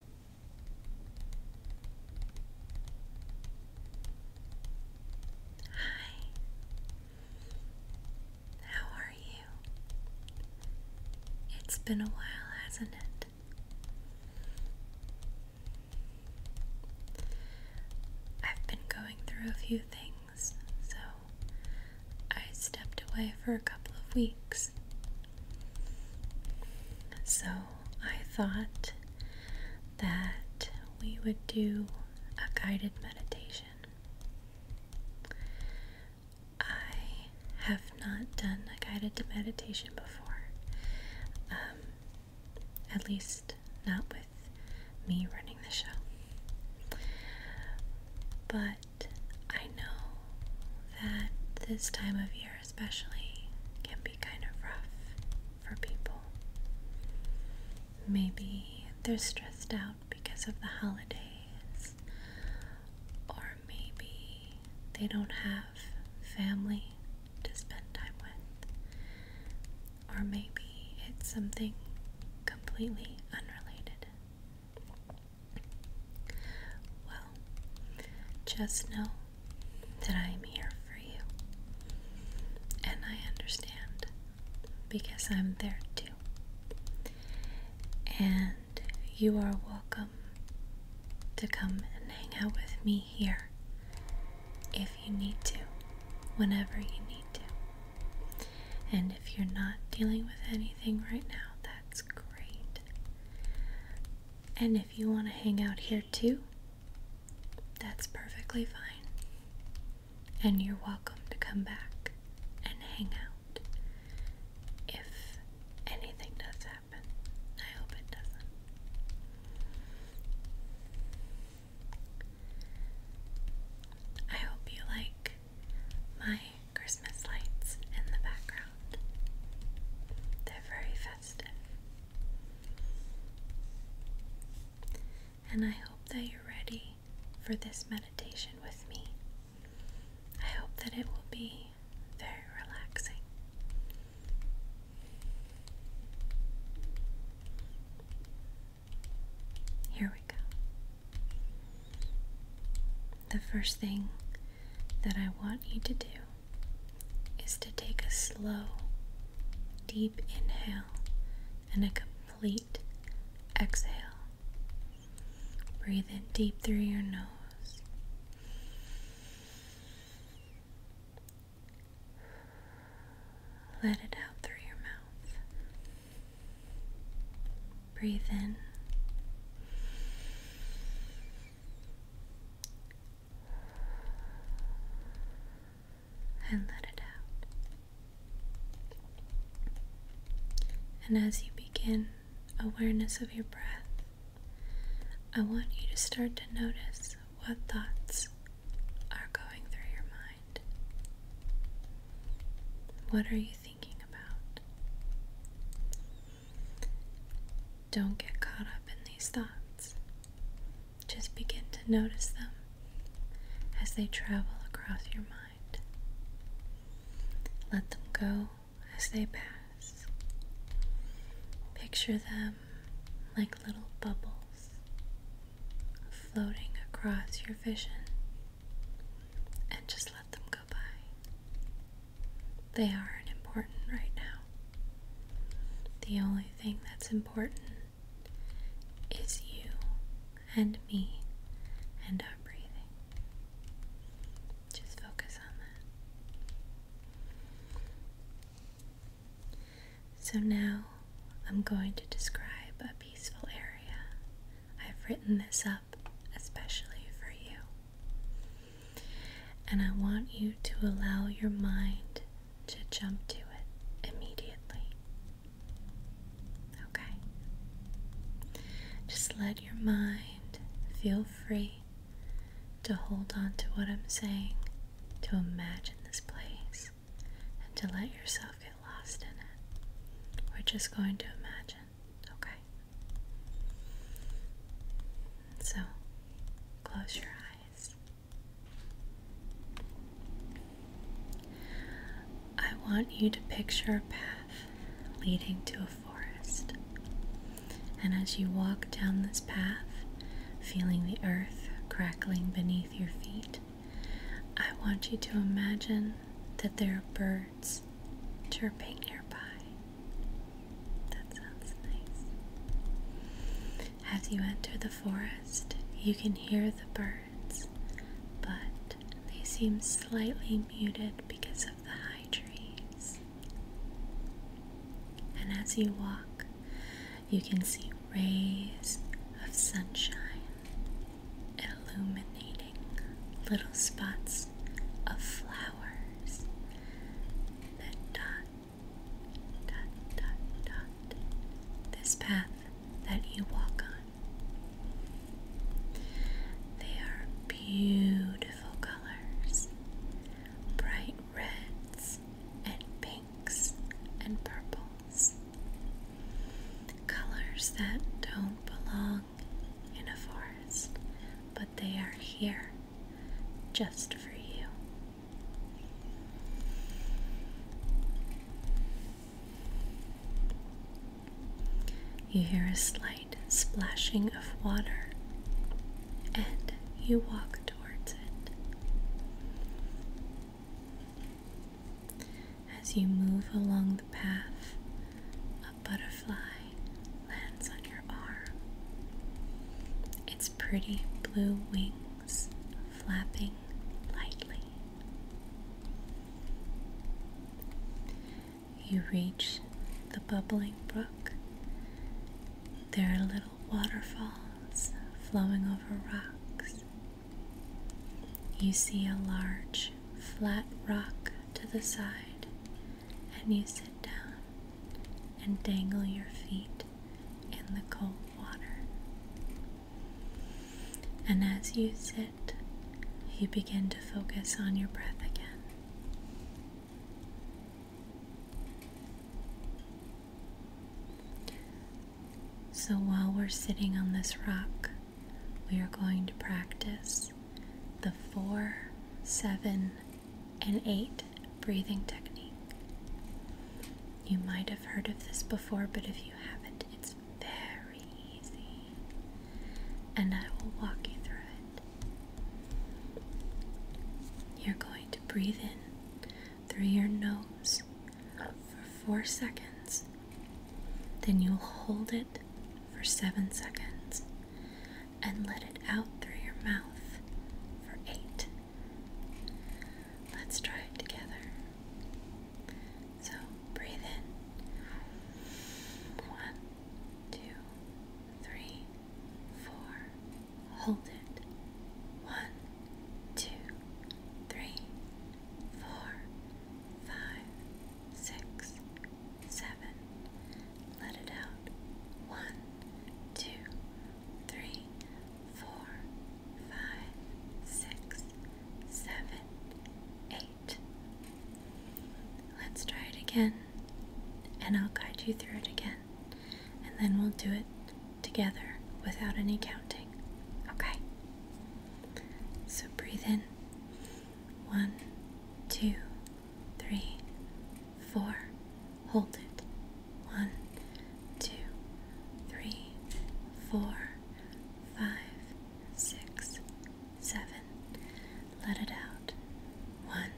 Hi, how are you? It's been a while, hasn't it? I've been going through a few things, so I stepped away for a couple of weeks. So I thought that we would do a guided meditation. I have not done a guided meditation before, um, at least not with me running the show. But I know that this time of year, especially, can be kind of rough for people. Maybe they're stressed out because of the holidays, or maybe they don't have family to spend time with, or maybe it's something completely unrelated. Well, just know that I am here for you. And I understand because I'm there too. And you are welcome to come and hang out with me here if you need to, whenever you need to. And if you're not dealing with anything right now, that's great. And if you want to hang out here too, that's perfectly fine. And you're welcome to come back and hang out if anything does happen. I hope it doesn't. I hope you like my Christmas lights in the background. They're very festive. And I hope that you're ready for this meditation with me. I hope that it will be very relaxing. Here we go the first thing that I want you to do is to take a slow, deep inhale and a complete exhale. Breathe in deep through your nose. Let it out through your mouth. Breathe in. And let it out. And as you begin awareness of your breath, I want you to start to notice what thoughts are going through your mind. What are you don't get caught up in these thoughts. Just begin to notice them as they travel across your mind. Let them go as they pass. Picture them like little bubbles floating across your vision and just let them go by. They aren't important right now. The only thing that's important is you and me and our breathing. Just focus on that. So now I'm going to describe a peaceful area. I've written this up especially for you. And I want you to allow your mind to jump to it immediately. Okay? Just let your mind feel free to hold on to what I'm saying, to imagine this place, and to let yourself lost in it. We're just going to imagine, okay? So, close your eyes. I want you to picture a path leading to a forest. And as you walk down this path, feeling the earth crackling beneath your feet, I want you to imagine that there are birds chirping nearby. That sounds nice. As you enter the forest, you can hear the birds, but they seem slightly muted because of the high trees. And as you walk, you can see rays of sunshine illuminating little spots of flowers that dot, dot, dot, dot this path that you walk on. They are beautiful colors, bright reds and pinks and purples. Colors that don't belong in a forest, but they are here just for you. You hear a slight splashing of water and you walk towards it as you move along the path. A butterfly lands on your arm, its pretty blue wings flapping lightly. You reach the bubbling brook. There are little waterfalls flowing over rocks you see a large flat rock to the side, and you sit down and dangle your feet in the cold water. And as you sit, you begin to focus on your breath again. So while we're sitting on this rock, we are going to practice the four, seven, and eight breathing technique. You might have heard of this before, but if you haven't, it's very easy. And I will walk you through it. You're going to breathe in through your nose for four seconds. Then you'll hold it for seven seconds and let it out through your mouth for eight. Let's try it together. So breathe in. One, two, three, four. Hold it. One, two, three, four, five, six, seven. Let it out. One, two, three, four, five, six, seven, eight. Let's try it again, and I'll guide you through it again, and then we'll do it together without any counting. Okay? So breathe in. One, two, three, four. Hold it. One, two, three, four, five, six, seven. Let it out. One,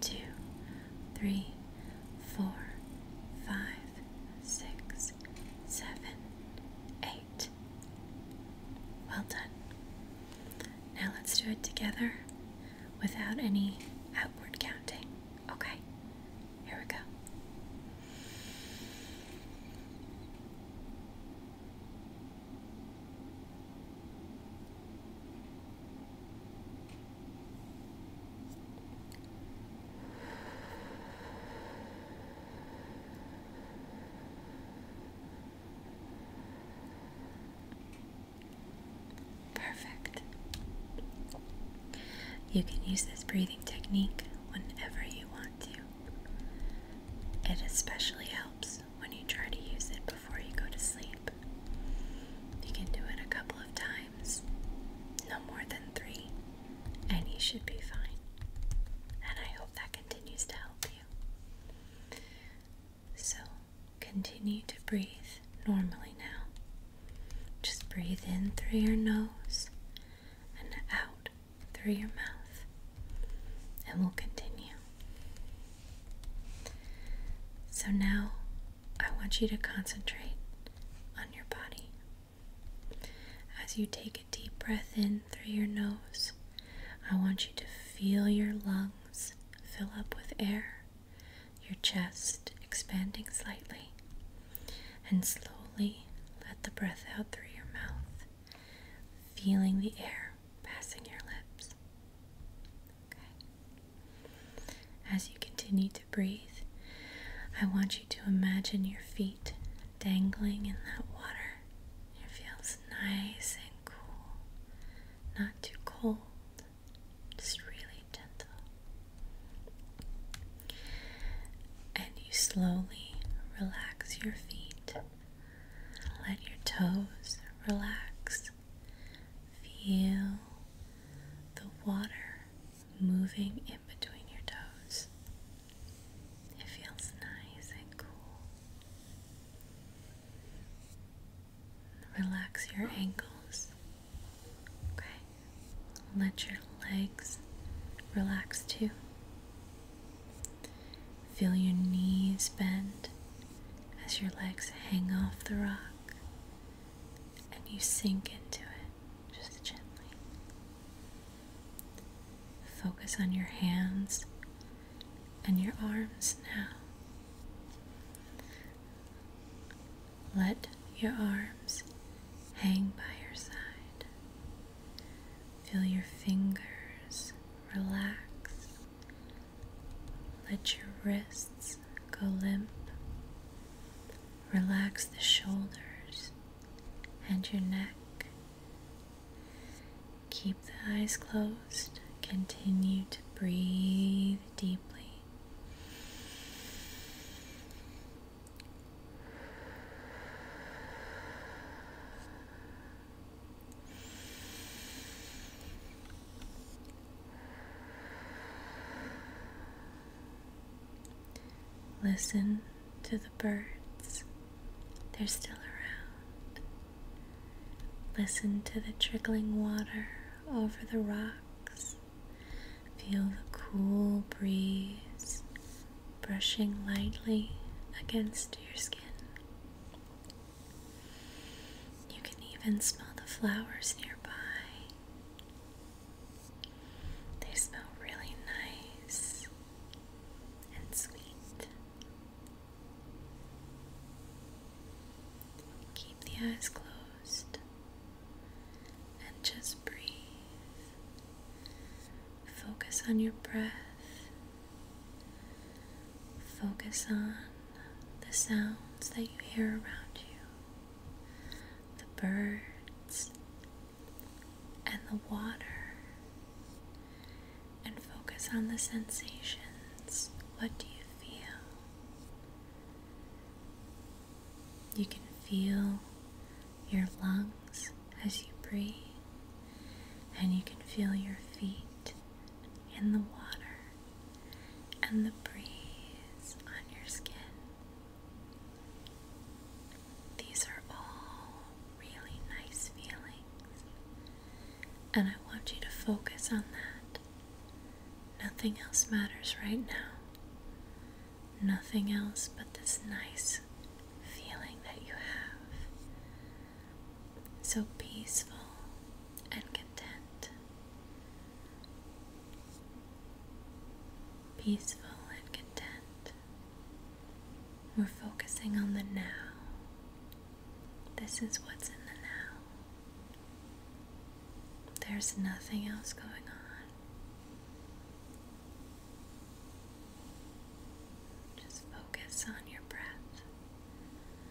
two, three, four, five, six, seven, eight. Well done. Now let's do it together without any outward counting. Okay, here we go. Perfect. You can use this breathing technique whenever you want to. It especially helps when you try to use it before you go to sleep. You can do it a couple of times no more than three, and you should be fine. And I hope that continues to help you. So, continue to breathe normally now. Just breathe in through your nose and out through your mouth, and we'll continue. So now I want you to concentrate on your body. As you take a deep breath in through your nose, I want you to feel your lungs fill up with air, your chest expanding slightly, and slowly let the breath out through your mouth, feeling the air passing your lips. As you continue to breathe, I want you to imagine your feet dangling in that water. It feels nice and cool, not too cold, just really gentle. And you slowly relax your feet. Let your toes relax Feel the water moving in between your toes. It feels nice and cool. Relax your ankles. Okay. Let your legs relax too. Feel your knees bend as your legs hang off the rock and you sink into it just gently. Focus on your hands and your arms now. Let your arms hang by your side. Feel your fingers relax let your wrists go limp. Relax the shoulders and your neck. Keep the eyes closed. Continue to breathe deeply. Listen to the birds, they're still around. Listen to the trickling water over the rocks. Feel the cool breeze brushing lightly against your skin. You can even smell the flowers nearby. They smell really nice and sweet. Keep the eyes closed and just breathe. Focus on your breath. Focus on the sounds that you hear around you, the birds and the water, and focus on the sensations. What do you feel? You can feel your lungs as you breathe, and you can feel your feet in the water and the breeze on your skin. These are all really nice feelings, and I want you to focus on that. Nothing else matters right now. Nothing else but this nice feeling that you have so peaceful and content. Peaceful and content. We're focusing on the now. This is what's in the now. There's nothing else going on. Just focus on your breath.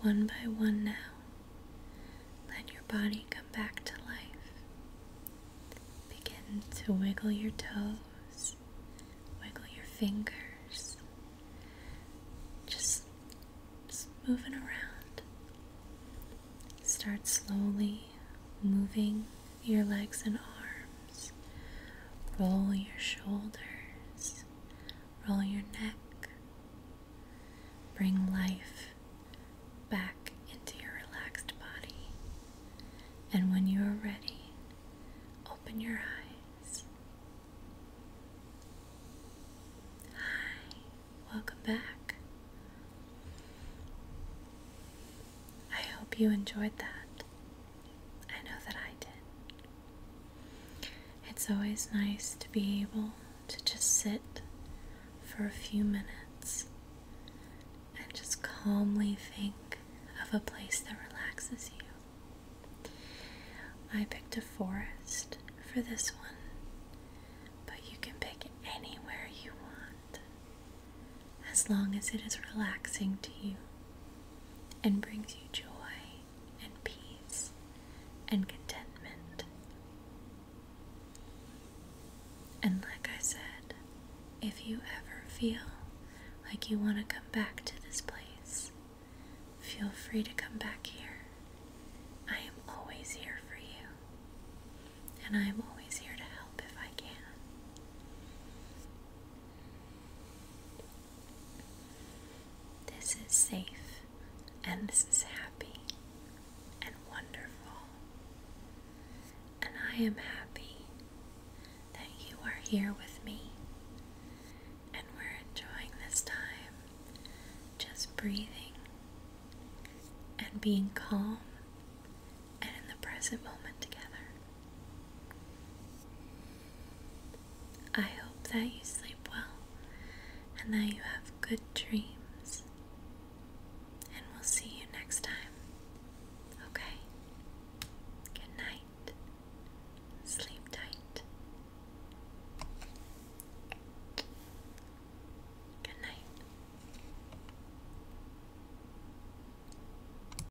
One by one now, let your body come back to life. Begin to wiggle your toes, wiggle your fingers, just, moving around. Start slowly moving your legs and arms, roll your shoulders, roll your neck, bring life back into your relaxed body. And when you are ready, open your eyes. Hi, welcome back. I hope you enjoyed that. I know that I did. It's always nice to be able to just sit for a few minutes and just calmly think of a place that relaxes you. I picked a forest for this one, but you can pick anywhere you want as long as it is relaxing to you and brings you joy and peace and contentment. And like I said, if you ever feel like you want to come back to this place, feel free to come back here. I am always here for you, and I am always here to help if I can. This is safe, and this is happy and wonderful. And I am happy that you are here with me and we're enjoying this time just breathing and being calm and in the present moment together. I hope that you sleep well and that you have good dreams. And we'll see you next time. Okay? Good night. Sleep tight. Good night.